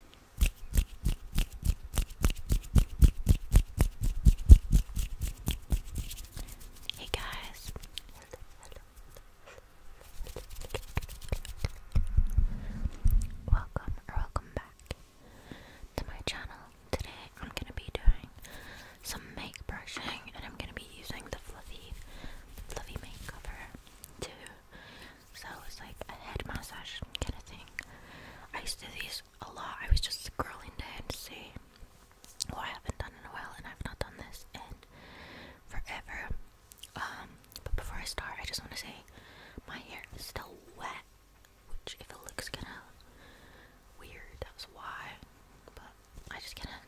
Hey guys. Welcome or welcome back to my channel. Today I'm going to be doing some make brushing and I'm going to be using the fluffy fluffy makeover to so it's like a head massage kind of thing. I used to do these a lot. I was just scrolling down to see what I haven't done in a while, and I've not done this in forever. Um, but before I start, I just want to say my hair is still wet, which if it looks kind of weird, that's why. But I just gonna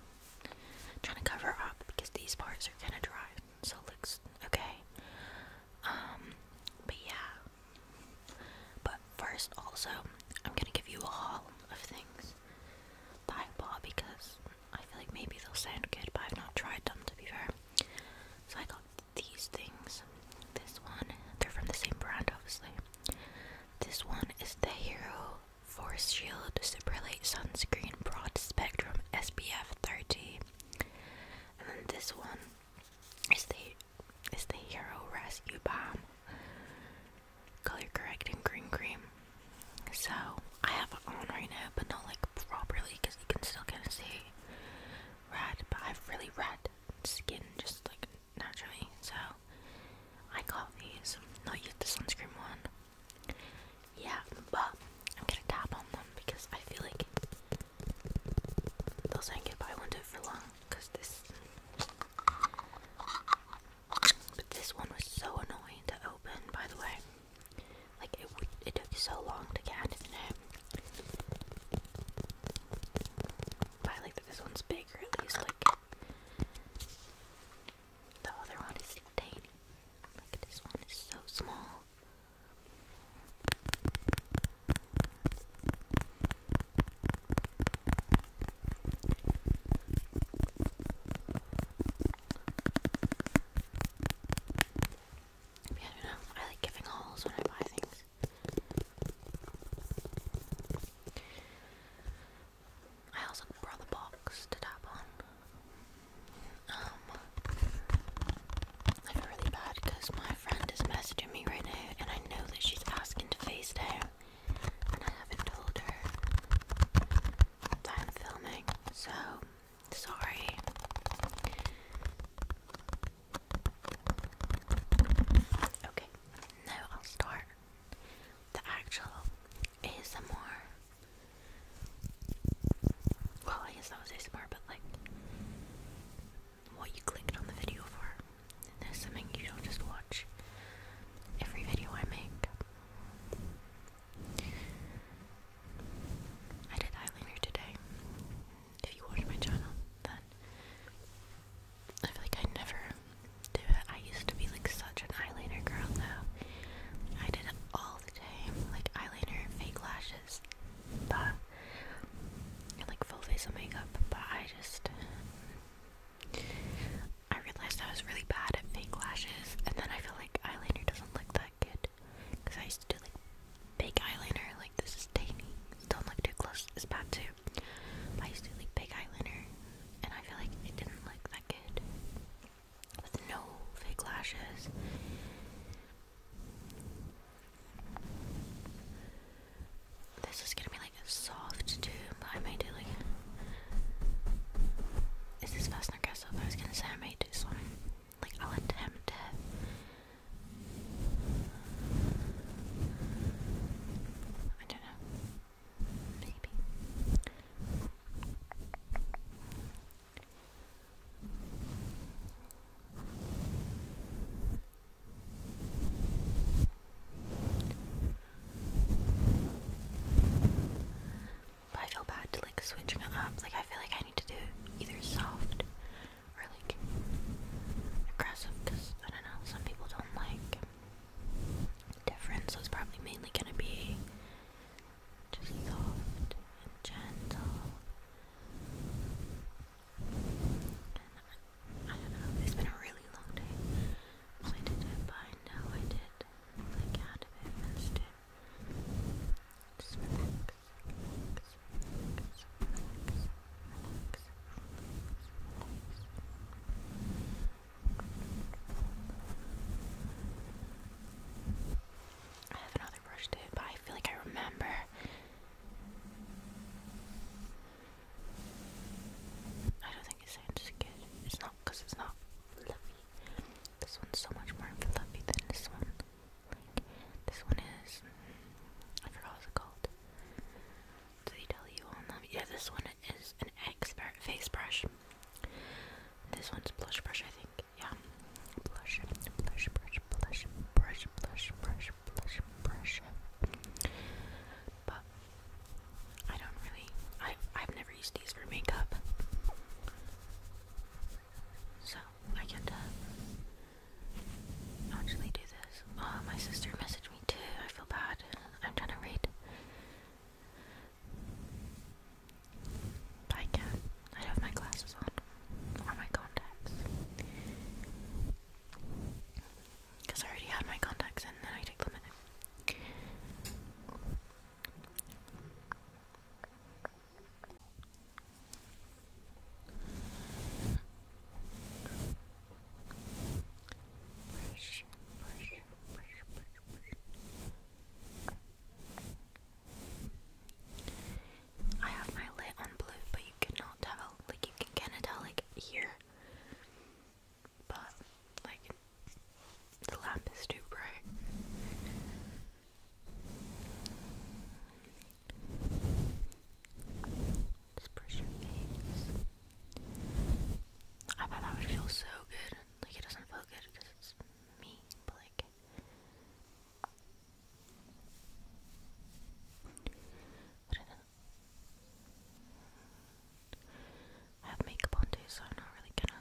trying to cover up because these parts are gonna dry, so it looks okay. Um, but yeah. But first, also, I'm gonna give you a haul of things that I because I feel like maybe they'll sound good, but I've not tried them to be fair. So I got these things. This one, they're from the same brand, obviously. This one is the Hero Force Shield Super Light Sunscreen Broad Spectrum SPF 30. And then this one is the is the Hero Rescue bomb Color Correcting Green Cream. So I have it on right now, but not like properly because you can still kind of see red. But I have really red skin, just like naturally. So I got these. Not used the sunscreen one. Yeah, but I'm gonna tap on them because I feel like those I can get, I won't do it for long because this. this one was so annoying to open, by the way. Like it, it took so long to get it it. But I like that this one's bigger at least. Like the other one is tiny. Like this one is so small. Yeah, you know, I like giving hauls when I buy things. I also brought the box to tap on. Um, I feel really bad because my friend is messaging me right now, and I know that she's asking to FaceTime, and I haven't told her that I'm filming, so sorry. Okay, now I'll start the actual ASMR well, I guess that was ASMR, but like, what you clicked on the video for. There's something you don't just watch every video I make. I did eyeliner today. If you watch my channel, then I feel like I never do it. I used to be like such an eyeliner girl though. I did all like eyeliner, fake lashes, but like full facial makeup. But I just I realized I was really bad at fake lashes, and then I feel like eyeliner doesn't look that good because I used to do like big eyeliner. Like this is tiny. Don't look too close. this part too. I used to do like big eyeliner, and I feel like it didn't look that good with no fake lashes. This is gonna be like a soft too, but I might do like. Is this fastener cast up? I was gonna say I might do this one. Like, I'll attempt it. I don't know. Maybe. But I feel bad to like switching up. Like I feel like I need to do either soft or like aggressive because I don't know, some people don't like difference so it's probably mainly gonna be just soft and gentle. I don't know, it's been a really long day I did it, I know I did like out of it, missed it. I have another brush too, but I feel like I remember. I don't think it sounds It's not because it's not fluffy. This one's so much more fluffy than this one. this one is. I forgot what it's called. Did they tell you on that? Yeah, this one is an expert face brush. This one's blush brush, I think. Yeah. Blush, blush, brush, blush, brush, blush, brush, blush, brush. But I don't really. I I've never used these for makeup, so I can't uh, actually do this. Oh, my sister messaged me too. I feel bad. I'm trying to read. I can't. I have my glasses on. Or my contacts. Because I already had my contacts in, then I take them in. Push, push, push, push, push. I have my lid on blue, but you cannot tell. Like you can kind of tell, like here, but like the lamp is too bright. Just brush your face. I bet that would feel so good. Like it doesn't feel good because it's me, but like I have makeup on too, so I'm not really gonna.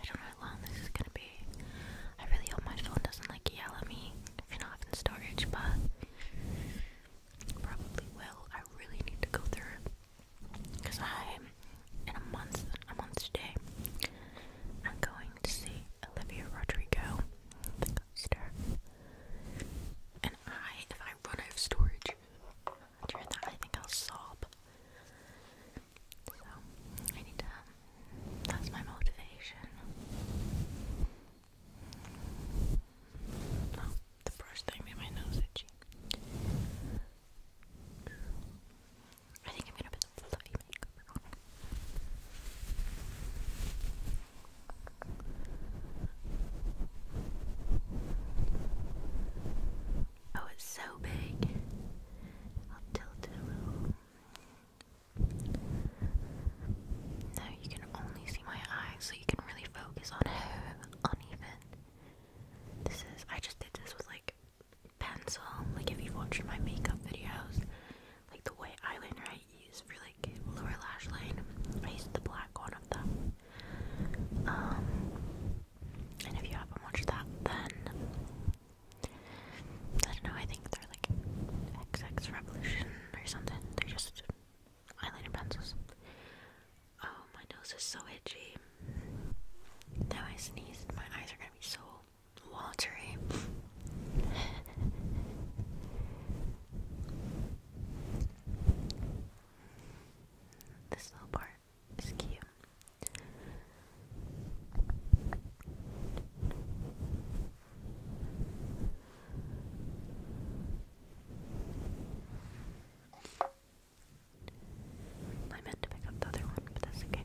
I don't know long this is gonna be. I really hope my phone doesn't like yell at me if you're not in storage, but probably will. I really need to go through because I'm in a month, a month today. I'm going to see Olivia Rodrigo, and I, if I run out of storage during that, I think I'll sob. So I need to. Um, that's my motivation. Oh, the brush thing made my nose itchy. I think I'm gonna put some fluffy makeup on. Oh, it's so big. I'll tilt it a little. Now you can only see my eyes, so you can really focus on how uneven this is. I just did this with like pencil. Like if you've watched my makeup videos, like the white eyeliner I use for like lower lash line, I used the black one of them. Um, and if you haven't watched that, then I don't know, I think they're like XX Revolution or something. They're just eyeliner pencils. Oh, my nose is so itchy. Now I sneezed, my eyes are gonna be so watery. this little part is cute. I meant to pick up the other one, but that's okay.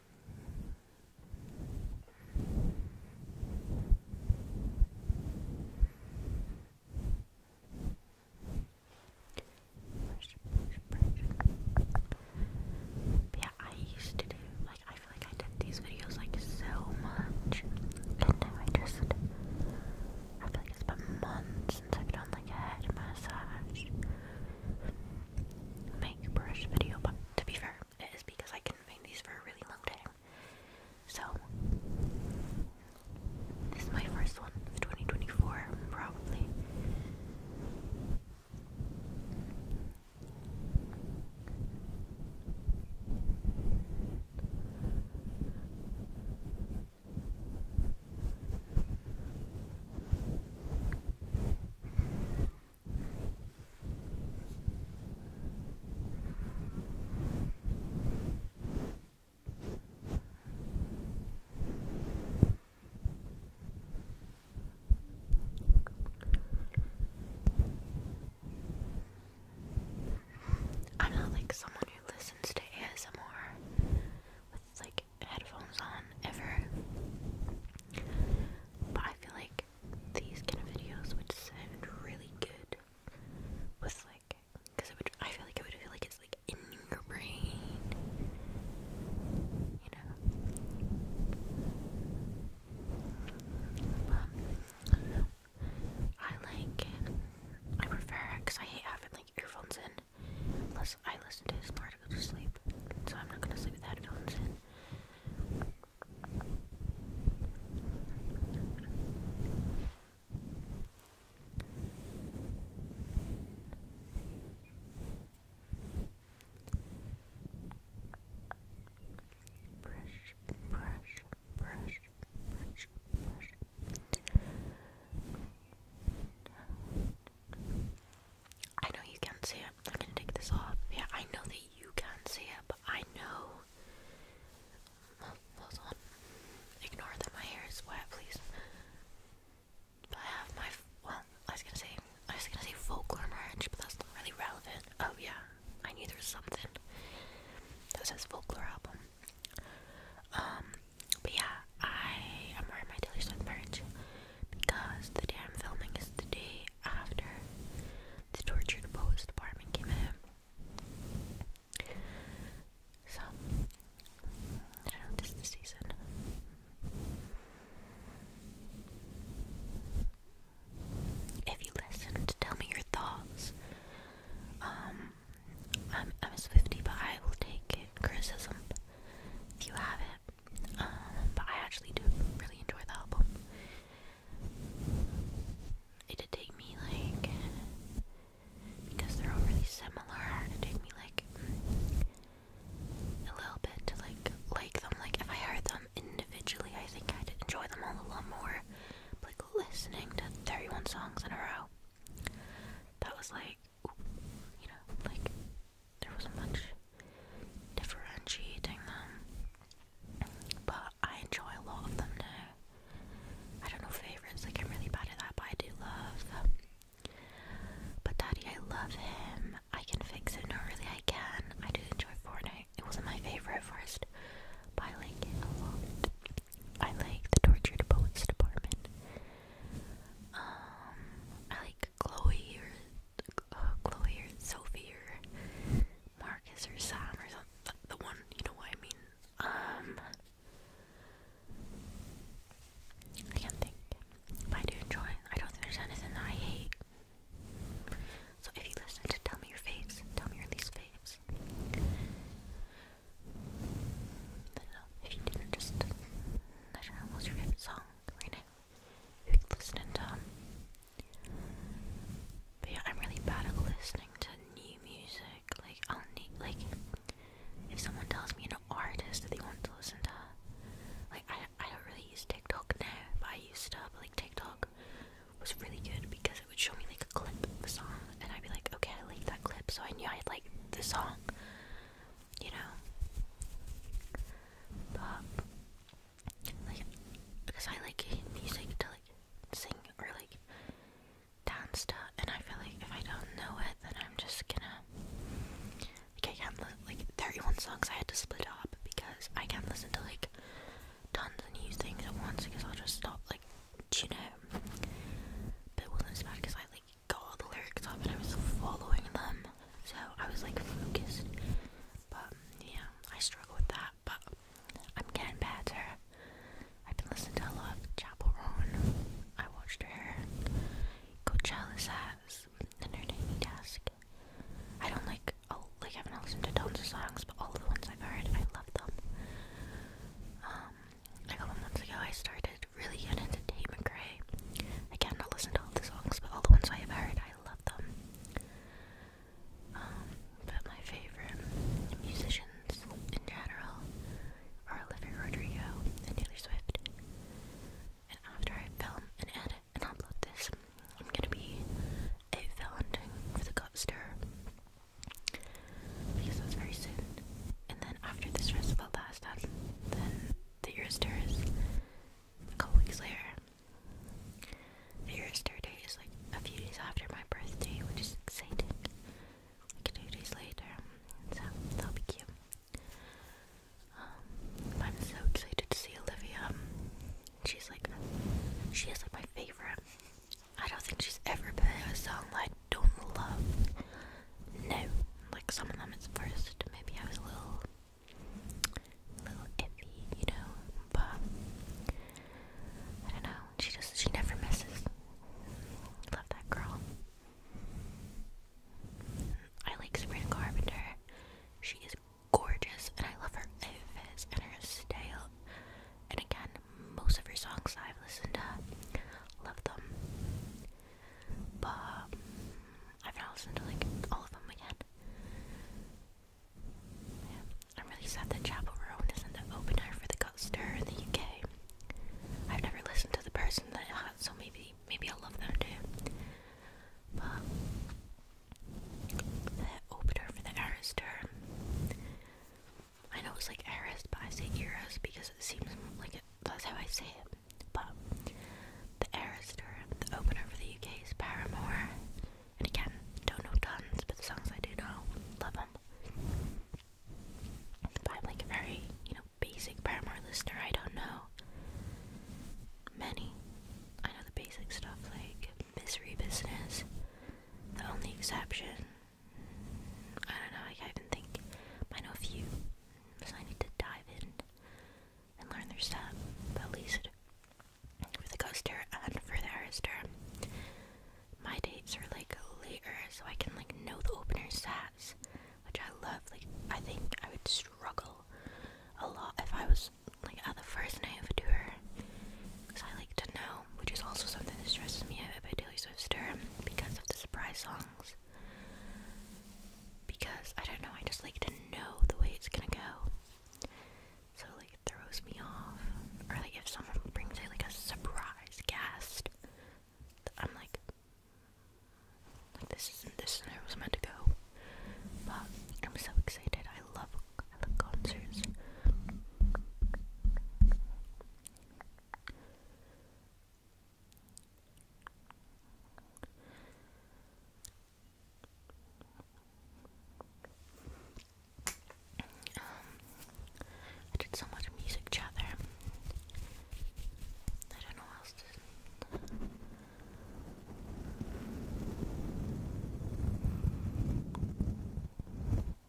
Brush, brush, Yeah, I used to do like I feel like I did these videos like so much, and now I just I feel like it's been months since I've done like a head massage make brush video, but to be fair, it is because I can not find these for a really long time. So, this is my first one of 2024, probably. I'm not like someone who listens to ASMR with like headphones on ever. But I feel like these kind of videos would sound really good with like, cause it would. I feel like it would feel like it's like in your brain, you know. But I like. I prefer because I hate having like earphones in. Plus, I listen to ASMR to go to sleep, so I'm not gonna sleep with headphones in. Brush, brush, brush, brush, brush. I know you can't see it. I'm gonna take this off. Yeah, I know that you can't see it, but I know. Well, hold on. Ignore that my hair is wet, please. But I have my. Well, I was gonna say. I was gonna say folklore merch, but that's not really relevant. Oh yeah, I knew there was something that says folklore album. Um, but yeah, I am wearing my Taylor Swift merch because the day I'm filming is the day after the tortured post department came So this the season. If you listened, tell me your thoughts. Um, I'm I'm a but I will take criticism if you haven't. Um, but I actually do really enjoy the album. It did take me like because they're all really similar. It took me like a little bit to like like them. Like if I heard them individually, I think I'd enjoy them a lot more. But like listening to 31 songs in a row, that was like you know, like there wasn't much differentiating them, but I enjoy a lot of them now. I don't know favorites, like I'm really bad at that, but I do love. But Daddy, I love him. I can fix it. No, really, I can. I do enjoy Fortnite. It wasn't my favorite first, but I like it a lot. I like the tortured poets department. Um, I like Chloe or uh, Chloe or Sophie or Marcus or Sam or The one, you know what I mean. Um, I can't think. I do enjoy. I don't think there's anything that I hate. So if you listen Tell Me Your Faves, tell me your least faves if you didn't just what's your favorite song right now, you could listen into But yeah, I'm really bad at listening to new music. Like I'll need like if someone tells me an artist that they want to listen to, like I I don't really use TikTok now, but I used to. But like TikTok was really good because it would show me like a clip of a song, and I'd be like, okay, I like that clip, so I knew I'd like the song you know. But like because I like music to like sing or like dance to and I feel like if I don't know it then I'm just gonna like I can't li- like 31 songs I had to split up because I can't listen to like tons of new things at once because I'll just stop like you know but it wasn't as because I like got all the lyrics up and I was following them, so I was like focused. But yeah, I struggle with that, but I'm getting better. I've been listening to a lot of Chapel Roan. I watched her Coachella sets and her daily desk. I don't like like I haven't listened to tons of songs, but all the ones I've heard, I love them. Um a couple ago I started really getting into Tate McRae. I cannot listen to all the songs, but all the ones I have heard, I love them. Um, but my favorite musicians in general are Olivia Rodrigo and Taylor Swift. And after I film and edit and upload this, I'm gonna be a Valentine for the Godster because that's very soon. And then after the stressful last album, then the Euros tour is a couple weeks later. The Euros tour day is like a few days after my birthday, which is exciting. Like two days later, so that'll be cute. Um, I'm so excited to see Olivia. She's like, she is like my favorite. I don't think she's ever been played a song like don't love now. Like some of them at first, maybe I was a little, little iffy, you know. But I don't know. She just she never misses. Love that girl. I like Sabrina Carpenter. She is gorgeous, and I love her outfits and her style. And again, most of your songs I've listened to. Love them. But I've not listened to like all of them again. I'm really sad that Chapel Roan isn't the opener for the Gutster in the UK. I've never listened to the person that so maybe maybe I'll love them too. But the opener for the Arister I know it's like Eris, but I say Eris because it seems like it, that's how I say it. But the Eris tour, the opener for the UK is Paramore. And again, don't know tons, but the songs I do know, love them. But I'm like a very, you know, basic Paramore listener. I don't know many. I know the basic stuff like Misery Business. The only exception I don't know, I can't even think. I know a few, so I need to dive in and learn their stuff, but at least for the coaster and for the Arister. My dates are like later, so I can like know the opener stats, which I love. Like, I think I would struggle a lot if I was like at the first night of a tour, because I like to know which is also something that stresses me out about Daily Swifter because of the surprise songs. Because I don't know, I just like to know the way it's gonna go. So like it throws me off. Or like if someone brings out like a surprise guest, I'm like like this isn't this is where it was meant to go. But I'm so excited. I love I love concerts. Um, I did so much music chat there. I don't know else to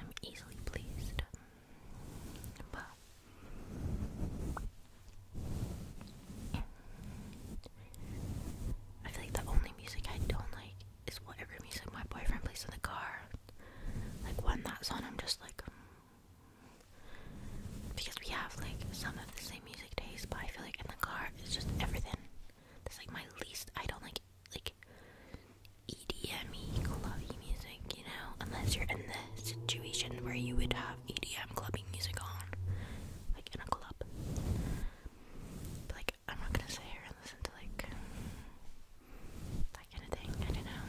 I'm easily pleased. But I feel like the only music I don't like is whatever music my boyfriend plays in the car. Like one that's on, I'm just like. Um, because we have like some of the same music taste, but I feel like in the car it's just everything. That's like my least. I don't like like EDM clubbing music, you know, unless you're in the situation where you would have EDM clubbing music on, like in a club. like, I'm not gonna sit here and listen to like that kind of thing. I know.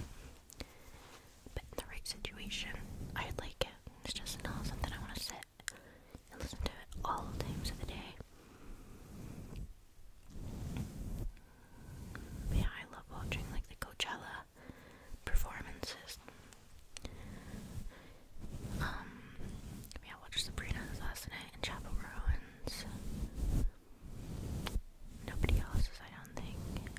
But in the right situation, i like it. It's just not something I want to sit and listen to it all times of the day yeah, I love watching like the Coachella performances. Um, yeah, I watched Sabrina last night in Chapel Ruins. Nobody else's, I don't think.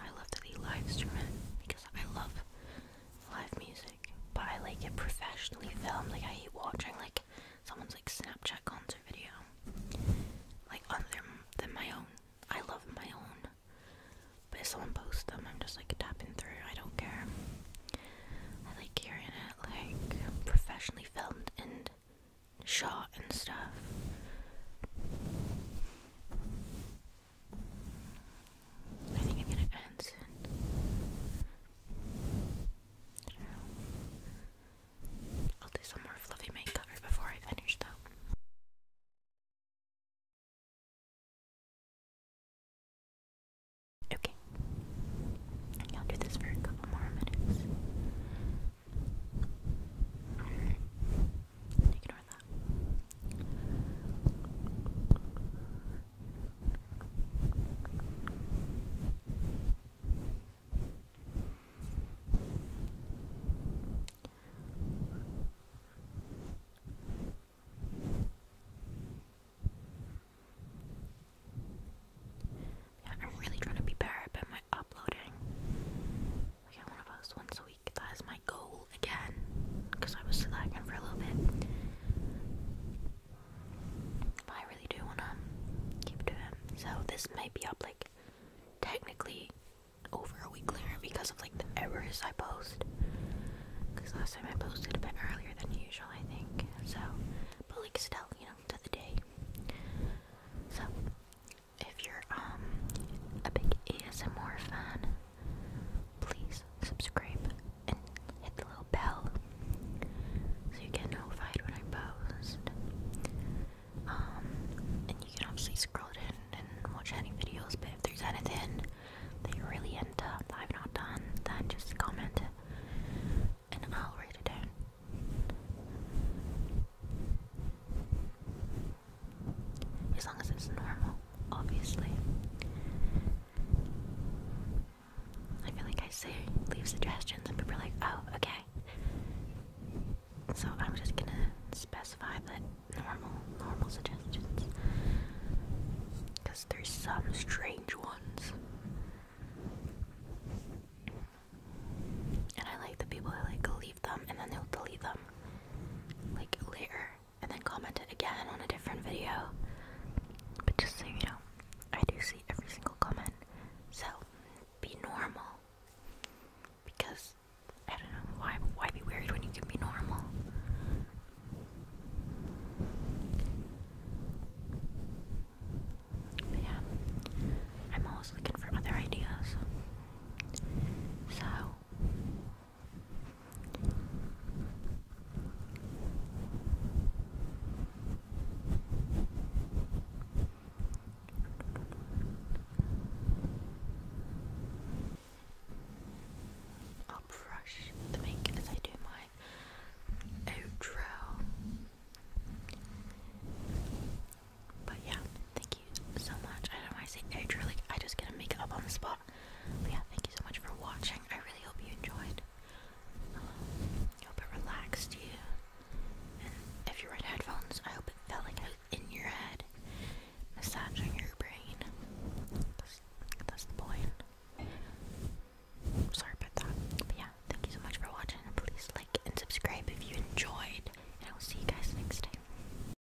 I love that he live stream it because I love live music but I like it professionally filmed. Like I hate watching like someone's like Snapchat concert video, like on other than my own. I love my own, but if someone posts them, I'm just like tapping through. I don't care. I like hearing it like professionally filmed and shot and stuff. I think I'm gonna end soon. I'll do some more fluffy makeup before I finish though. Okay. I'll do this for a couple more minutes. I'm really trying to be better about my uploading. Like, I want to post once a that is my goal again, because I was slacking for a little bit. I really do want to keep doing it. So this might be up like technically over a week later because of like the errors I post. Because last time I posted a bit earlier than usual, I think. So, but like still, you know, to the day. So, if you're um, a big ASMR fan, please subscribe and hit the little bell so you get notified when I post. Um, and you can obviously scroll down and watch any videos, but if there's anything that you're really into that I've not done, then just comment and I'll write it down. As long as it's normal, obviously. I feel like I say leave suggestions and people are like, oh, okay. So I'm just gonna specify that normal, normal suggestions. Because there's some strange ones. And I like the people who like leave them and then they'll delete them. Like later and then comment it again on a different video. But just so you know, I do see every single comment. So be normal. Because I don't know why why be worried when you can be normal. But yeah, I'm always looking for other ideas. So I'll brush the make as I do my outro. But yeah, thank you so much. I don't want to say outro, like I just get to make on the spot yeah, thank you so much for watching. I really hope you enjoyed. Um, I hope it relaxed you. And if you're in headphones, I hope it felt like I was in your head, massaging your brain. That's, the point. Sorry about that. yeah, thank you so much for watching. Please like and subscribe if you enjoyed. And I will see you guys next time.